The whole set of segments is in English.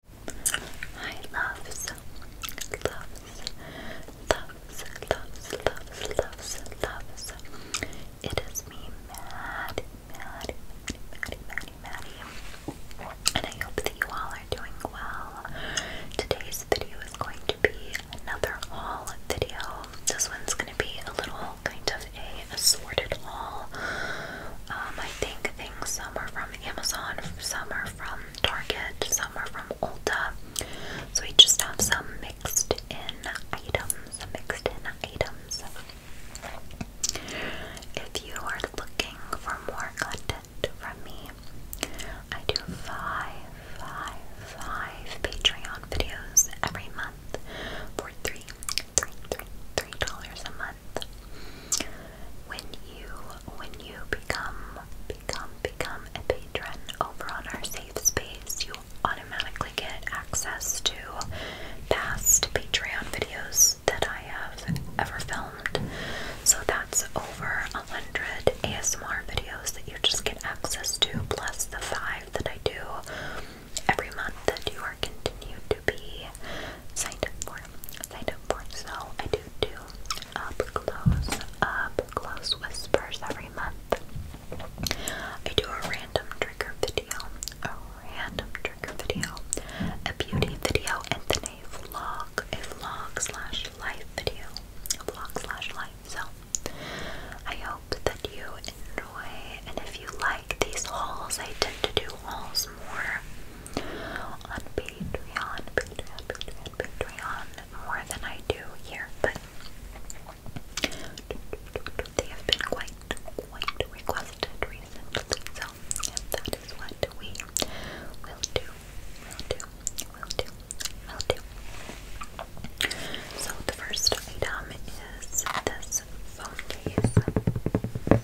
Hi loves, loves, loves, loves, loves, loves, loves. It is me, Maddie, Maddie, Maddie, Maddie, Maddie, And I hope that you all are doing well. Today's video is going to be another haul video. This one's going to be a little kind of a assorted haul. Um, I think some are from Amazon, some are from Target, some are from Ulta. So we just have some mixed in items, mixed in items. If you are looking for more content from me, I do five, five, five Patreon videos every month for three, three, three, three dollars a month. When you when you become become become a patron over on our safe space, you automatically get access to past Patreon videos that I have ever filmed. So that's over a hundred ASMR videos that you just get access to, plus the five that I do every month that you are continued to be signed up for. Signed up for. So I do do up close, up close whispers every month. I do a random trigger video, a random trigger video, a beauty video, and then a vlog, a vlog slash life video, a vlog slash life. So I hope that you enjoy, and if you like these hauls, I tend to do hauls more on Patreon, Patreon, Patreon, Patreon more than I do here, but they have been quite, quite requested recently, so that is what we will do, will do, will do, will do. So the first item is this phone case.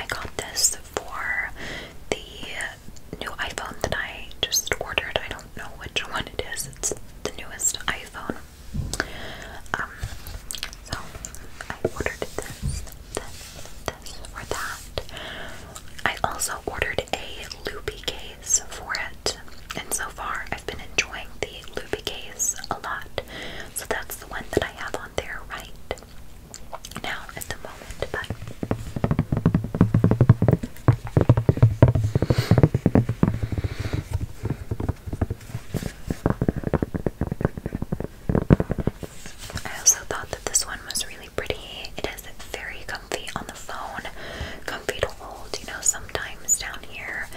I got this for the new iPhone that I just ordered. I don't know which one it is. It's the newest iPhone. Um, so I ordered this, this, this, or that. I also ordered a loopy case for it, and so far I've been enjoying the loopy case a lot. So that's the one that I have on there right now at the moment. I also thought that this one was really pretty. It is very comfy on the phone, comfy to hold. You know, sometimes down here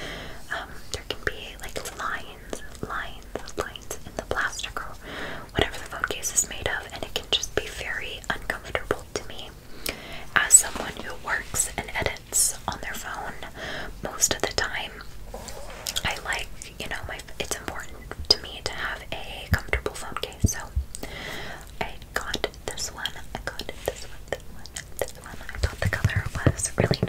um, there can be like lines, lines, lines in the plastic or whatever the phone case is made of, and it can just be very uncomfortable to me. As someone who works and edits on their phone most of the time, I like, you know, my it's important to me to have a comfortable phone case. So I got this one. I got this one, this one, this one. I thought the color was really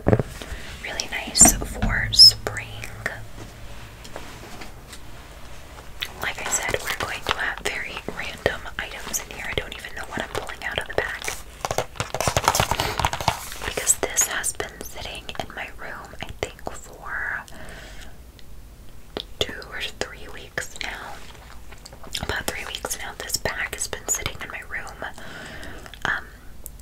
nice. Really nice for spring. Like I said, we're going to have very random items in here. I don't even know what I'm pulling out of the bag. Because this has been sitting in my room, I think, for two or three weeks now. About three weeks now, this bag has been sitting in my room. Um,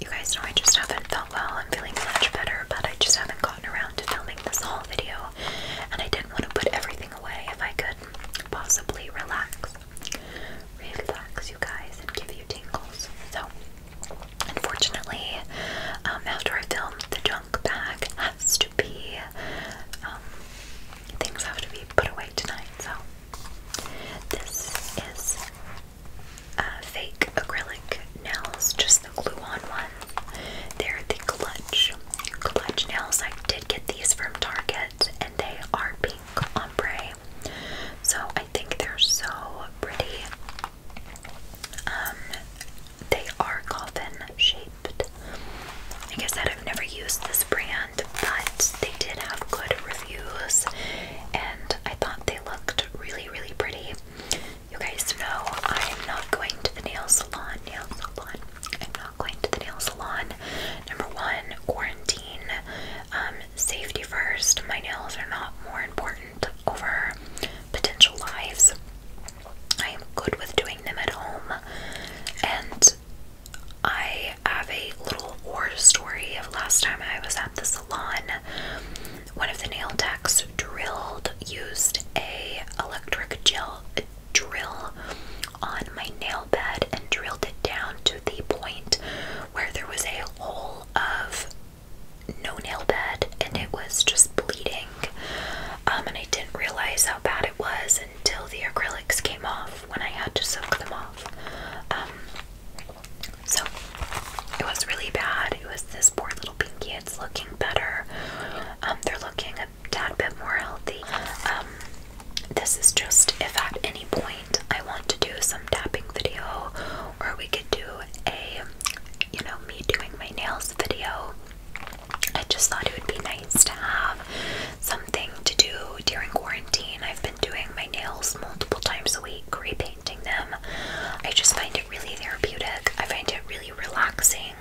you guys know I just haven't felt well. I'm feeling much better, but I just haven't gotten around to filming this whole video. And I didn't want to put everything away if I could possibly relax. Relax, you guys, and give you tingles. So, unfortunately, um, after I film, the junk bag has to be, um, things have to be put away tonight. So, this is uh, fake acrylic nails, just the glue-on one. They're the clutch, clutch nails. I did get these from Target, and they are pink ombre. So I think they're so pretty. Um, they are coffin shaped. Like I said, I've never used this brand, but they did have good reviews, and I thought they looked really, really pretty. You guys know I'm not going to the nail salon. Nail salon. I'm not going to the nail salon. Number one, quarantine. Um, safety first. My nails are not more important over potential lives. I am good with doing them at home. And I have a little horror story of last time I was at the salon one of the nail techs drilled used a electric drill on my nail bed and drilled it down to the point where there was a hole of no nail bed and it was just bleeding um, and I didn't realize how bad it was until the acrylics came off when I had to soak them off um, so it was really bad. It was this poor little pinky. It's looking better. Um, they're looking a tad bit more healthy. Um, this is just if at any point I want to do some tapping video, or we could do a, you know, me doing my nails video. I just thought it would be nice to have something to do during quarantine. I've been doing my nails multiple times a week, repainting them. I just find it really therapeutic. I find it really relaxing.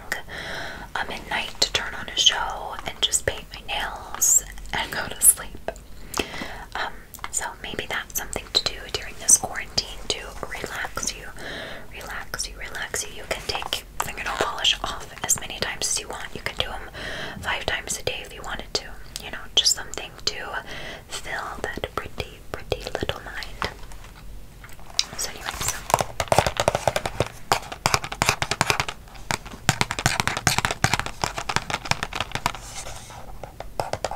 Um, at night to turn on a show and just paint my nails and go to sleep. Um, so maybe that's something to do during this quarantine to relax you, relax you, relax you. You can take fingernail polish off as many times as you want. You can do them five times a day if you wanted to. You know, just something to fill that pretty, pretty little mind. So anyway, so Okay.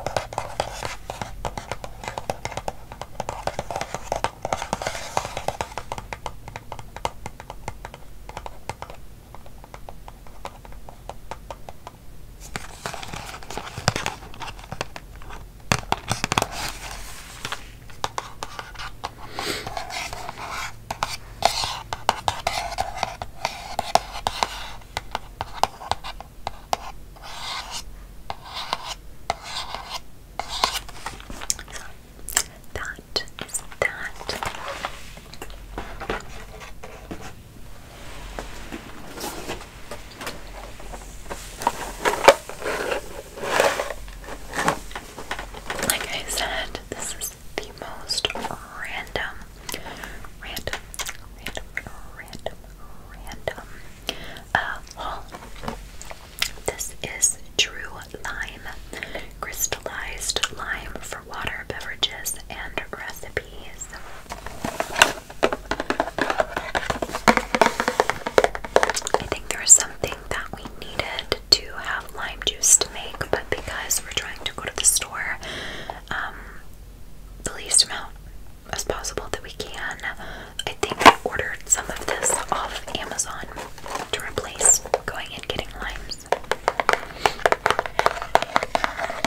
That is that. Like I said, this is the most random, random, random, random, random uh, haul. This is True Lime, crystallized lime for water beverages and recipes. I think there was something that we needed to have lime juice to make, but because we're trying to go to the store um, the least amount as possible that we can, I think we ordered some of this off Amazon to replace going and getting limes.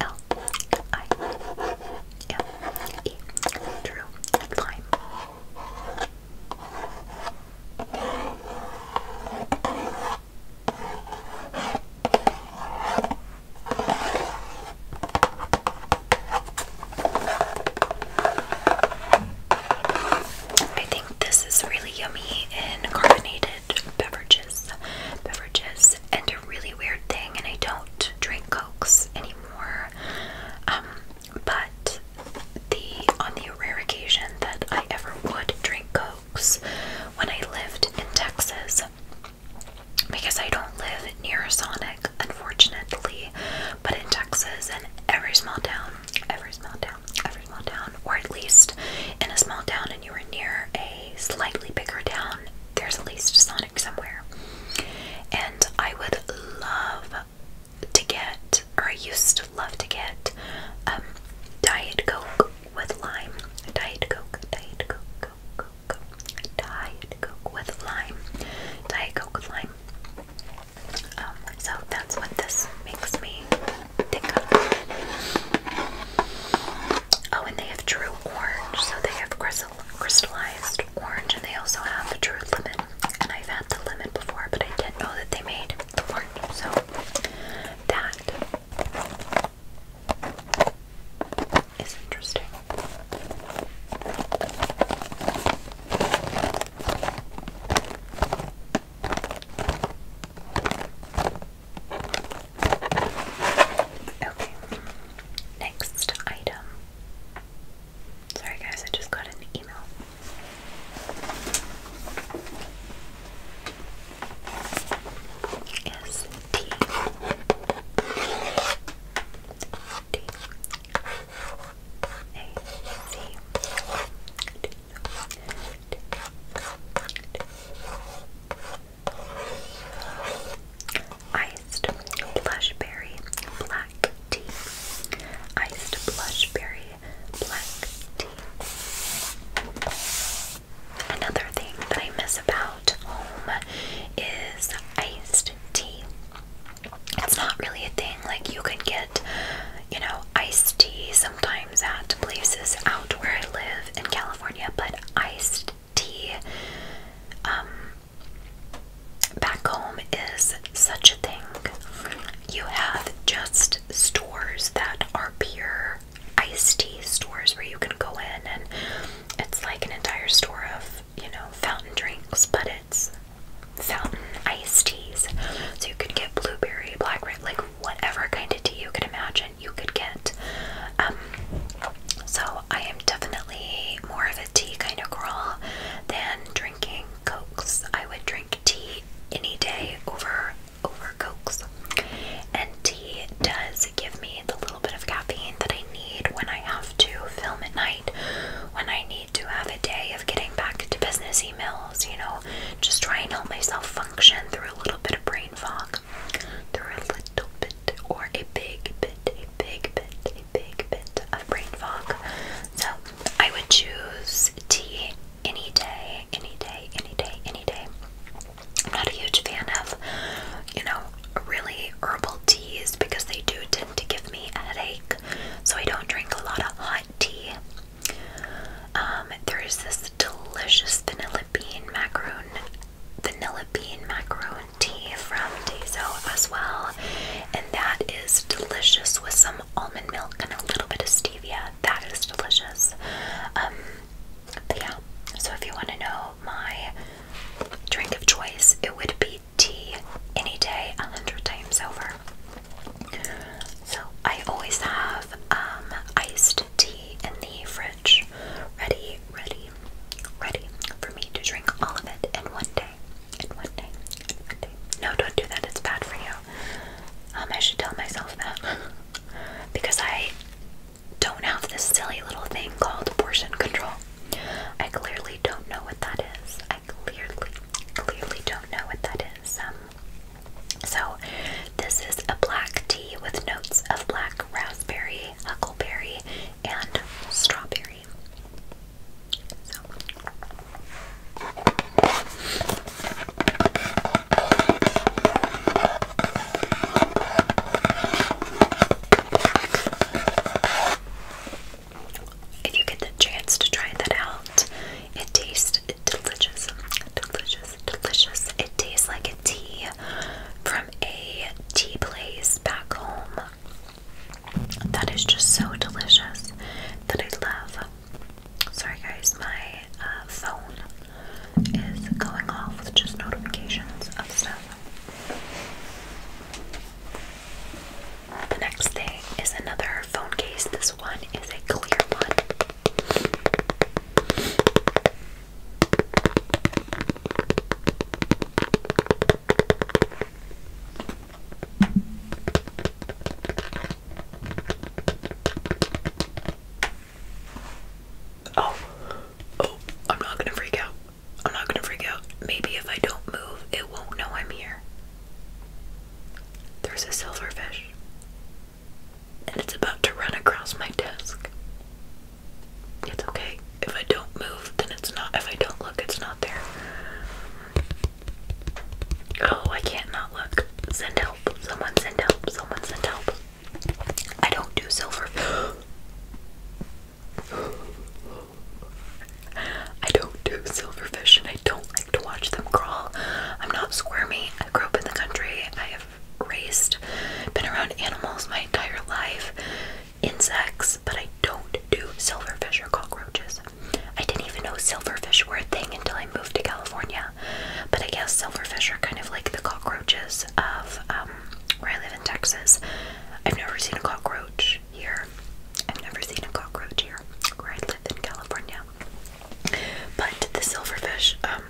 L I L E Drew Lime. I think this is really yummy in carbonated beverages. Beverages and a really weird thing and I don't drink cokes anymore more. Um, but the on the rare occasion that I ever would drink Cokes when I lived in Texas, because I don't live near a Sonic, unfortunately, but in Texas and every small town, every small town, every small town, or at least in a small town and you were near a slightly bigger town, there's at least Sonic somewhere. And I would love to get, or I used to love to get, um, Diet Coke with lime. Diet Coke, Diet Coke, Coke, Coke, Coke. Diet Coke with lime. Diet Coke with lime. Um, so that's what this makes me think of. Oh, and they have Drew Orange, so they have Chris crystallized orange, and they also have the true lemon. And I've had the lemon before, but I didn't know that they made the orange. So that is interesting. Okay, next item Sorry, guys, I just got an email iced blush black tea. Iced blush black tea. Another thing that I miss about home is iced tea. It's not really a thing, like you can get, you know, iced tea sometimes at places out where I live in California, but iced tea um, back home is such a thing. You have just stores that are pure iced tea stores where you can go in and it's like an entire store of, you know, fountain drinks, but it's fountain iced teas. So you could get blueberry, blackberry, like whatever kind of tea you could imagine. You could get um, so I am definitely more of a tea kind of girl than drinking cokes. I would drink tea any day over over cokes. And tea does give me the little bit of caffeine that I need when I have to film at night, when I need to have a day of getting back to business emails, you know, just try and help myself function through a little bit of brain fog. Through a little bit or a big bit, big bit, big bit of brain fog. So I would choose tea any day, any day, any day, any day. I'm not a huge fan of, you know, really herbal teas because they do tend to give me a headache. So I don't drink a lot of hot tea. Um, there is this delicious vanilla bean macaron vanilla bean macaron tea from Tezo as well, and that is delicious with some almond milk and a little bit of stevia. That is delicious. Um, but yeah, so if you want to know my drink of choice, it would be tea any day, a hundred times over. So I always have um, iced tea in the fridge, ready, ready, ready for me to drink all of it in one day. In one day. In one day. No, don't do that. It's bad for you. Um, I should tell myself that because I don't have this silly little thing called portion control. I clearly don't know what that is. I clearly, clearly don't know what that is. Um, so, this is a black tea with notes of black raspberry, huckleberry, and strawberry. If you get the chance to try that out, it tastes delicious, delicious, delicious. It tastes like a tea from a tea place back home that is just so delicious that I love. Sorry, guys, my uh, phone is going off with just notifications of stuff. The next thing is another phone case. This one is a clear one. Oh, oh, I'm not gonna freak out. I'm not gonna freak out. Maybe if I don't move, it won't know I'm here. There's a silverfish, and it's about to run across my desk. It's okay. If I don't move, then it's not. If I don't look, it's not there. Oh, I can't not look. Send help. Someone send help. Someone send help. I don't do silver. I don't do silverfish and I don't like to watch them crawl. I'm not squirmy. I grew up in the country. I have raised, been around animals my entire life insects, but I don't do silverfish or cockroaches. I didn't even know silverfish were a thing until I moved to California, but I guess silverfish are kind of like the cockroaches of um, where I live in Texas. I've never seen a cockroach here. I've never seen a cockroach here where I live in California. But the silverfish, um,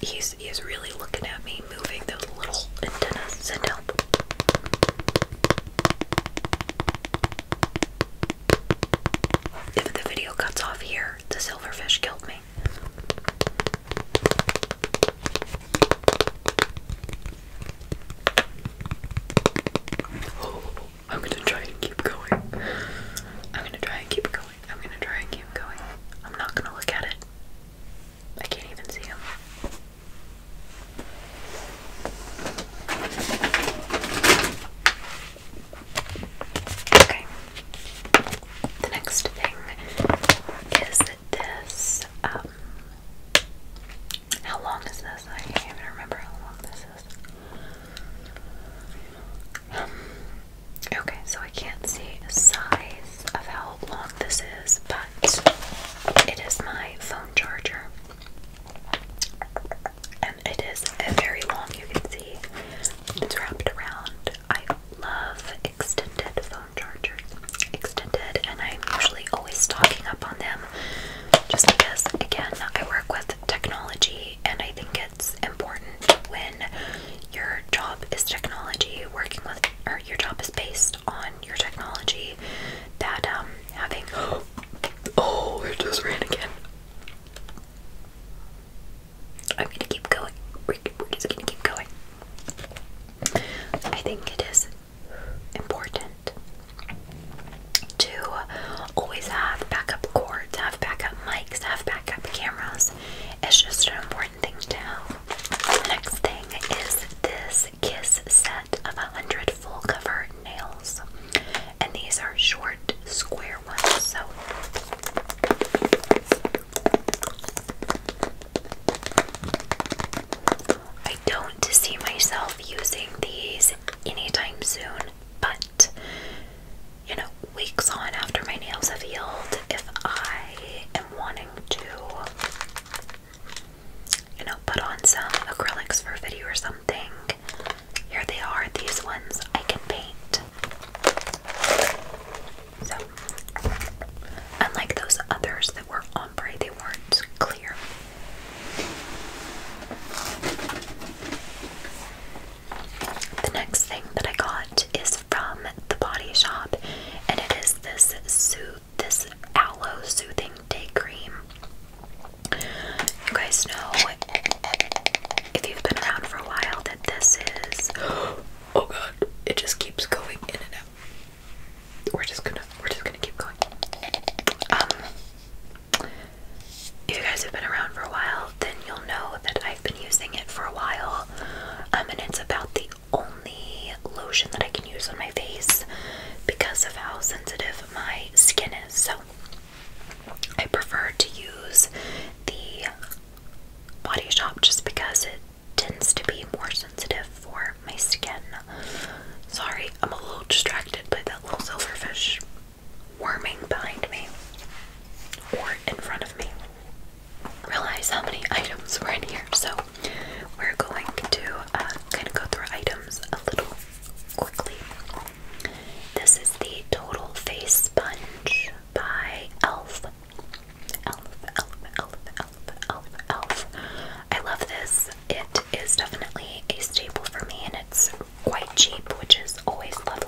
he's really looking at me moving those little antennas and help. If the video cuts off here, the silverfish killed me. Oh, I'm gonna try and keep going. I'm gonna try and keep going. I'm gonna try and keep going. I'm not gonna look at it. I can't even see him. Okay. The next thing is this. Um, how long is this? I can't even remember how long this is. Um, okay, so I can't see size of how long this is, but it is my phone charger. And it is very long, you can see it's wrapped around. I love extended phone chargers. Extended, and I'm usually always stocking up on them just because, again, I work with technology and I think it's important when your job is technology, working with, or your job is based on your technology that um having oh it just ran again. I'm gonna keep going. We're, just gonna keep going. I think it is important to always have backup cords, have backup mics, have backup cameras. It's just an important thing to have. next thing is this Kiss set of a 100 full cover nails. And these are short, square ones. So I don't see myself using these anytime soon, but you know, weeks on after my nails have healed, if I am wanting to you know, put on some acrylics for video or something. Here they are, these ones I can paint. So, unlike those others that were ombre, they weren't clear. The next thing that I got is from the body shop, and it is this Sue this aloe soothing day cream. You guys know if you've been around for a while that this is oh god, it just keeps going in and out. We're just gonna we're just gonna keep going. Um, if you guys have been around for a while, then you'll know that I've been using it for a while. Um and it's about the only lotion that I can use on my face because of how sensitive my skin is. So I prefer to use the Body Shop just because it tends to be more sensitive for my skin. Sorry, I'm a little distracted by that little silverfish worming behind me or in front of me. Realize how many items were in here, so we're going to uh, kind of go through items a little quickly. This is the Total Face Sponge by e.l.f. Elf, elf, elf, elf, elf, elf. I love this. It is definitely a staple for me and it's quite cheap, which is always lovely.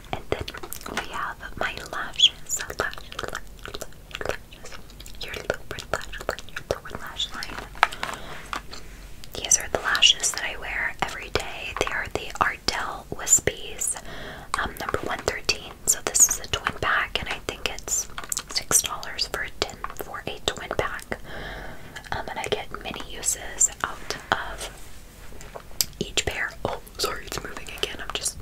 And then we have my lashes. Your lower lash line, These are the lashes that I wear every day. They are the Ardell Wispies, um, number 113. So this is a twin pack, and I think it's $6 for a tin for a twin pack. I'm um, gonna get many uses out of each pair. Oh, sorry, it's moving again. I'm just.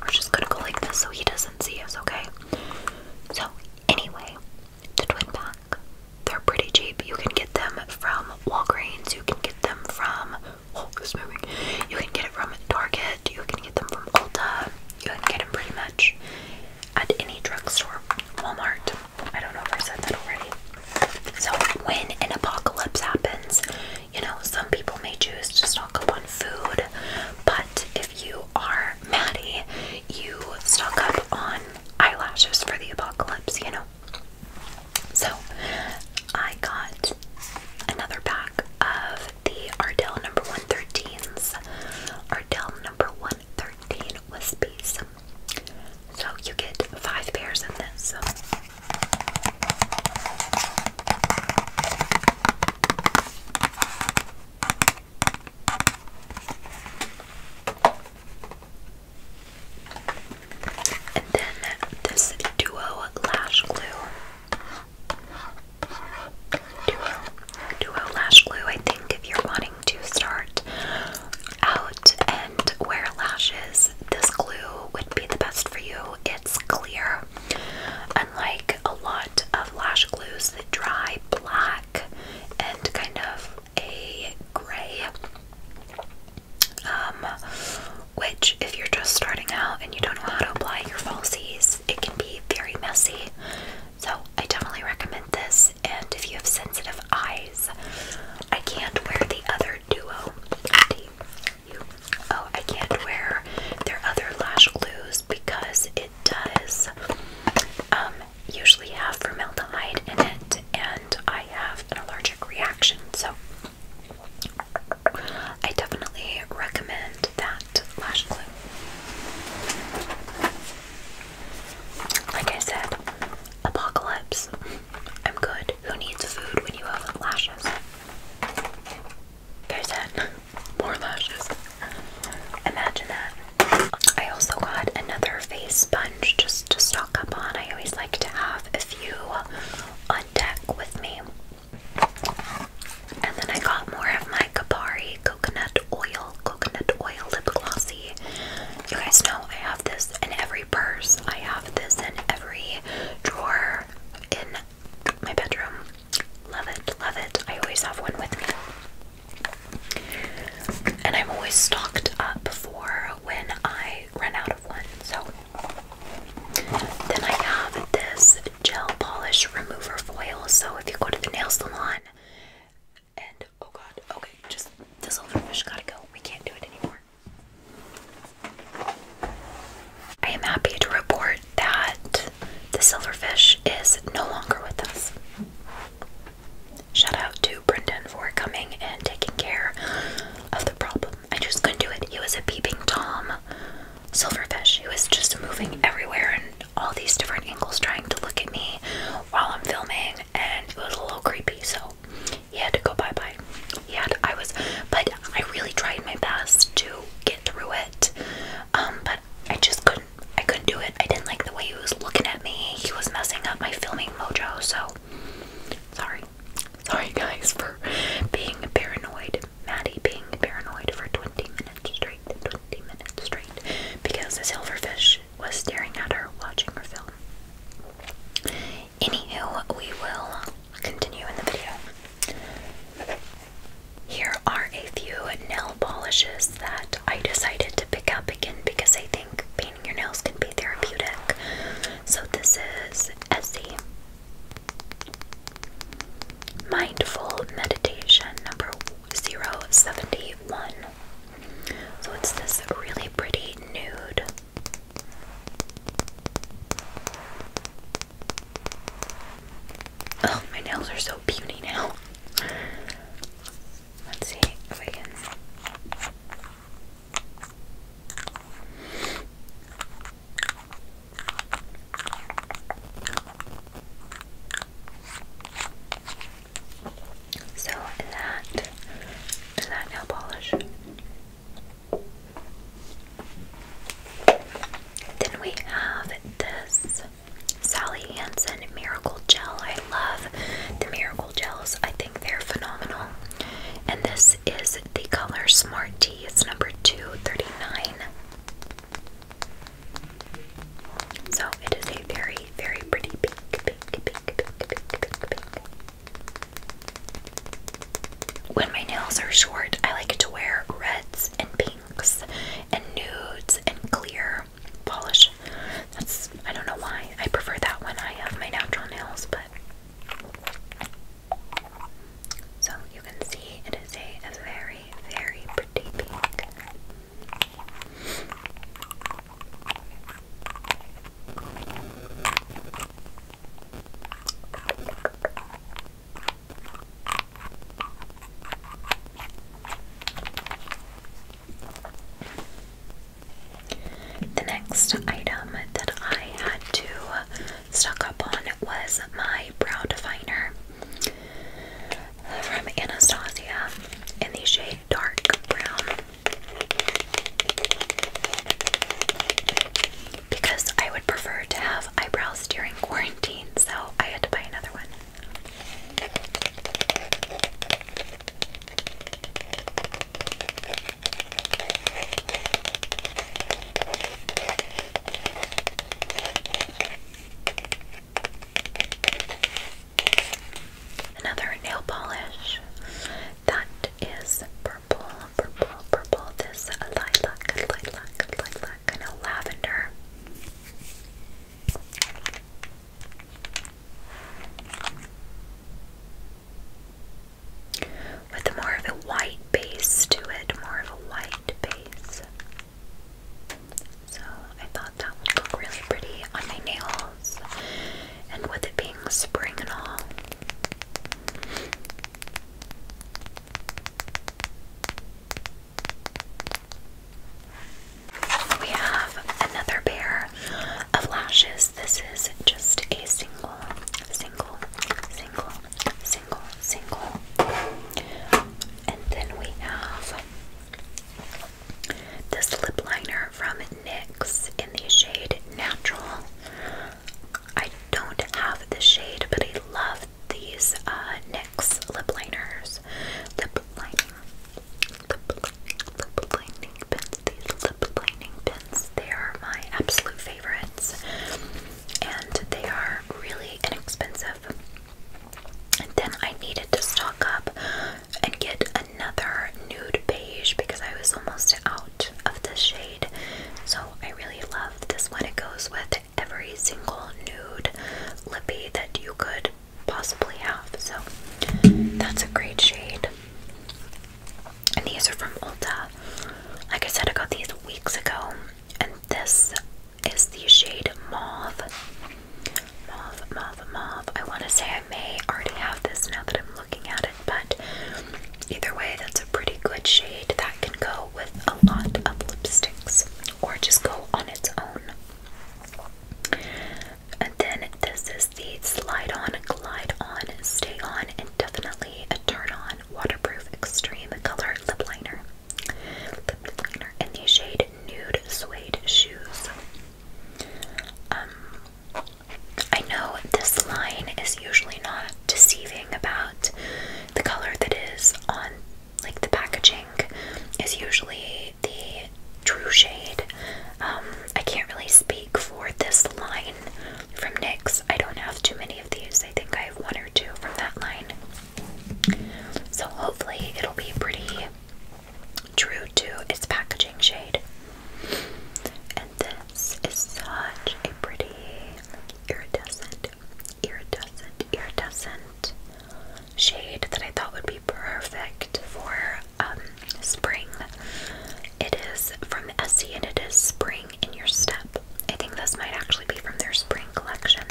We're just gonna go like this so he doesn't see us, okay? So, anyway, the twin pack. They're pretty cheap. You can get them from Walgreens. You can get them from. Oh, it's moving. You can get it from Target. You can get them from Ulta. You can get them pretty much at any drugstore. Walmart. I don't know if I said that already. So, when an apocalypse happens, you know, some people may choose to stock up on food, but if you are Maddie, you stock up on eyelashes for the apocalypse, you know. So, I got another pack of the Ardell number 113s. Ardell number 113 was So, you get five pairs in this. And then this duo lash glue. Duo, duo lash glue, I think, if you're wanting to start out and wear lashes, this glue would be the best for you. It's clear, unlike a lot of lash glues that dry black and kind of a gray. Um, which, if you're just starting out and you don't know how to apply your falsies, it can be very messy. So, I definitely recommend this. And if you have sensitive eyes, I can't wear the other duo. Oh, I can't wear their other lash glues because it does um, usually have formaldehyde in it, and I have an allergic reaction. So I definitely recommend that lash glue. Like I said, apocalypse. I'm good. Who needs food when you have lashes? There's that. More lashes. Imagine that. I also got another face sponge just to stock up on. I always like to have a few on deck with me. And then I got more of my Kapari coconut oil, coconut oil lip glossy. You guys know I have this in every purse. I have this in every drawer in my bedroom. Love it, love it. I always have one with me. And I'm always stocked up for when I run out of one. So then I have this gel polish remover foil. So if you go to the nail salon and oh god, okay, just this little fish gotta go. We can't do it anymore. I am happy to report that the silverfish is no longer with us. Shout out to Brendan for coming and taking care of the problem. I just couldn't do it. It was a beeping Tom silverfish. He was just moving everywhere and all these different angles trying to look at me while I'm filming, and it was a little creepy. So he had to go bye bye. He I was, but I really tried my best to get through it. Um, but I just couldn't. I couldn't do it. I didn't like the way he was looking at me. He was messing up my filming mojo. So sorry, sorry guys for being paranoid. Maddie being paranoid for 20 minutes straight. 20 minutes straight because the silverfish was staring at her, watching her film. Anywho, we will continue in the video. Here are a few nail polishes that I decided to pick up again because I think painting your nails can be therapeutic. So this is Essie Mindful Meditation number zero seventy one. So it's this really pretty nude Oh, my nails are so puny now. Let's see if I can. So that is that nail polish. Then we have this Sally Hansen Miracle Gel. I love the Miracle Gels, I think they're phenomenal. And this is the color Smart T. it's number 239. So it is a very, very pretty pink, pink, pink, pink, pink, pink, pink. When my nails are short, I like to wear reds and pinks and nudes and clear polish. That's, I don't know why. I prefer that when I have my natural nails, but. So you can see it is a, very, very pretty pink. The next item that I had to stock up on was my brow definer from Anastasia in the shade dark brown because I would prefer to have eyebrows during quarantine, so I had to buy another one. Another nail polish that is purple, purple, purple, this lilac, lilac, lilac, and a lavender. With more of a white base to it, more of a white base. So I thought that would look really pretty on my nails, and with it being spring and all, we have another pair of lashes. This is just a single, single, single, single, single. And then we have this lip liner from NYX in the shade Natural. I don't have the shade, but I love these uh, NYX lip liners. Lip lining. Lip, lining pins. These lip lining pins. They are my absolute favorites. And they are really inexpensive. And then I needed to stock up and get another nude beige because I was almost out of the shade. So I really love this one. It goes with every single nude lippy that you could possibly have. So that's a great shade. And these are from Ulta. Like I said, I got these weeks ago. And this is the shade moth. Moth, moth, moth. I want to say I may already have this now that I'm looking at it but either way, that's a pretty good shade that can go with a lot of lipsticks or just go on its own. And then this is the Slide On, Glide On, Stay On, and Definitely a Turn On Waterproof Extreme Color Lip Liner. Lip liner in the shade Nude Suede Shoes. Um, I know this line is usually not deceiving about the color that is on like the packaging is usually the true shade. Um, I can't really speak for this line from NYX. I don't have too many of these. I think I have one or two from that line. So hopefully it'll be pretty true to its packaging shade. This is such a pretty iridescent, iridescent, iridescent shade that I thought would be perfect for um, spring. It is from Essie and it is Spring in Your Step. I think this might actually be from their spring collection.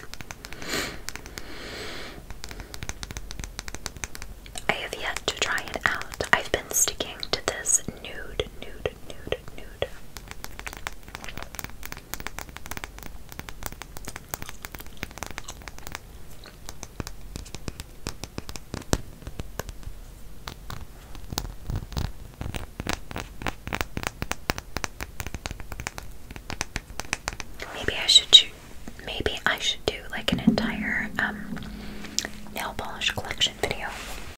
I have yet to try it out. I've been sticking to this nude, nude, Maybe I should do, maybe I should do like an entire um, nail polish collection video.